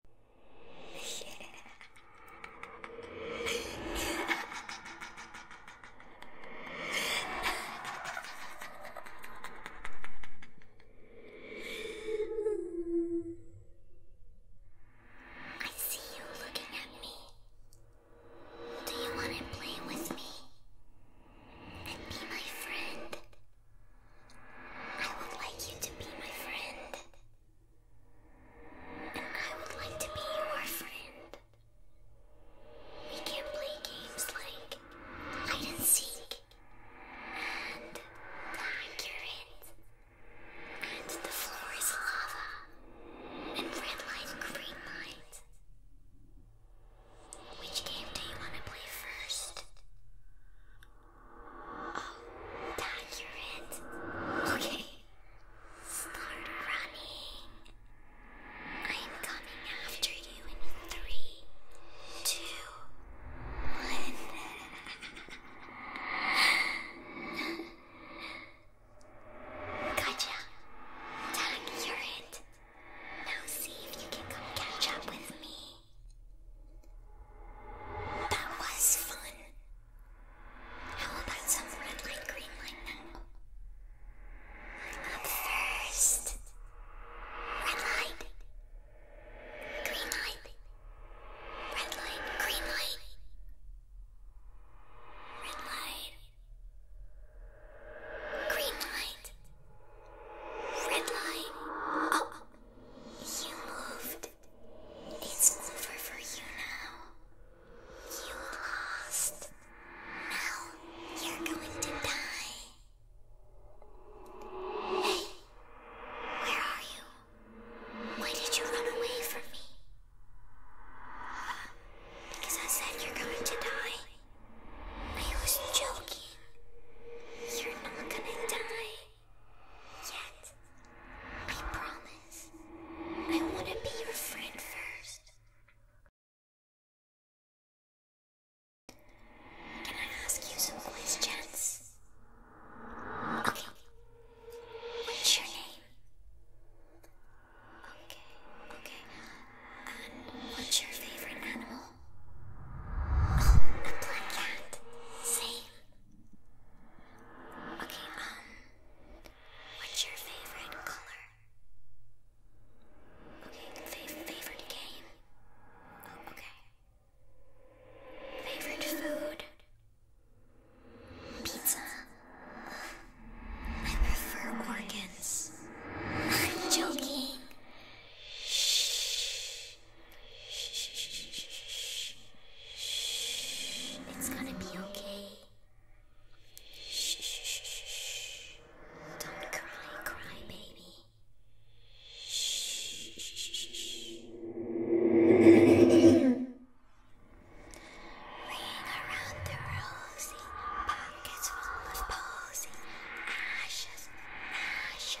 I see you looking at me. Do you want to play with me and be my friend? I would like you to be my friend. And I would like to be your friend. We can play games like hide and seek, and the accurate, and the floor is lava, and red light, green light. Which game do you want to play first? Oh, Dad, Okay. Start running. I'm coming after you in three, two, one. gotcha. Dad, Now see if you can catch up with me. That was fun. How about some red light, green light now? Up first. Red light. Green light. Red light. Green light. Red light. Green light. Red light. You moved. It's over for you now. You lost. Now you're going to die. Hey, where are you? Why did you run away from me? Because I said you're going to die. I was joking. You're not gonna die yet. I promise. I want to be your friend first. Can I ask you some questions? Okay. What's your name? Okay, okay. And what's your favorite animal? Oh, a black cat. Same. Okay, um, what's your favorite color? Okay, fav favorite game? Oh, okay. Favorite food? Pizza. I prefer organs. I'm joking. Shh. It's gonna be okay. Don't cry, cry, baby. Ring around the rosy, pockets full of posy, ashes, ashes.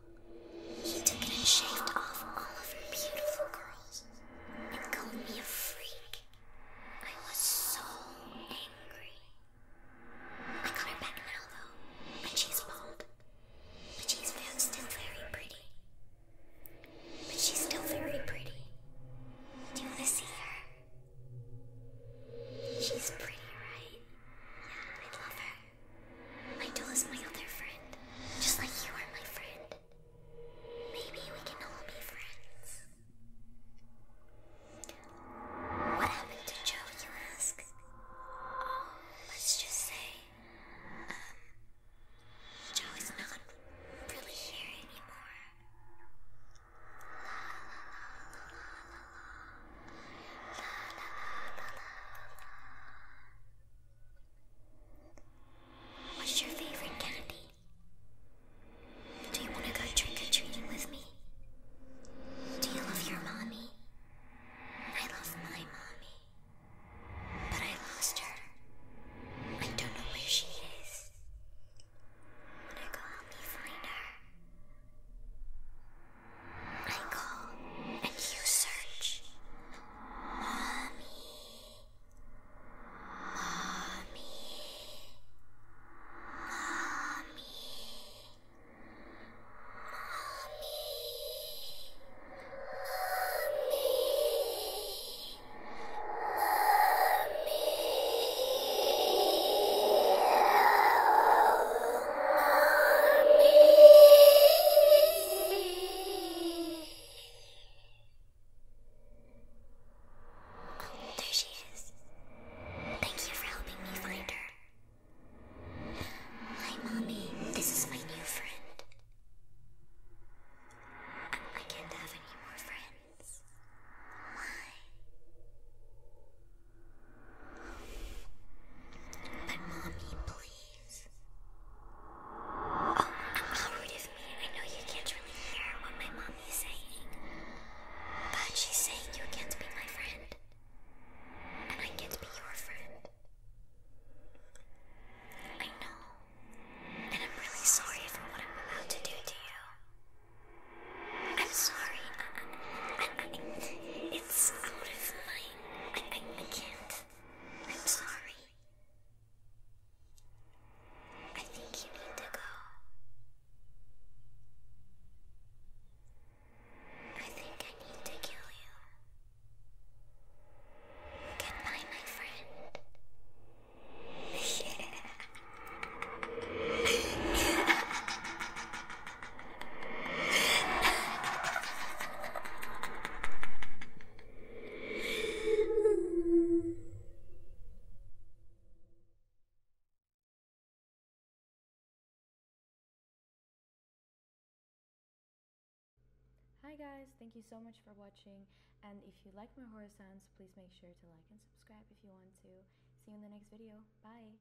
He took it and shaved off all of her beautiful curls and called me a freak. I was so angry. I got her back now though, and she's bald. But she's still very pretty. But she's still very pretty. Do you want to see her? She's pretty, right? Yeah, I love her. My doll is my other friend, just like you are my friend. Maybe we can all be friends. What happened to Joe, you ask? let's just say, um, Joe is not really here anymore. What's your favorite candy? Do you want to go trick or treating with me? Do you love your mommy? I love my mommy. But I lost her. I don't know where she is. Wanna go help me find her? I call and you search. Mommy. Mommy. Mommy. Mommy. Mommy. Mommy. There she is. Thank you for helping me find her. Hi, Mommy. This is my new friend. I, can't have any more friends. Why? But mommy, please. Oh, how rude of me. I know you can't really hear what my mommy's saying. But she's saying you can't be my friend. And I can't be your friend. I know. And I'm really sorry for what I'm about to do to you. I'm sorry. it's out of my I, I, I can't. I'm sorry. I think you need to go. I think I need to kill you. Goodbye, my friend. Yeah. Hi guys, thank you so much for watching and if you like my horror sounds, please make sure to like and subscribe if you want to. See you in the next video. Bye!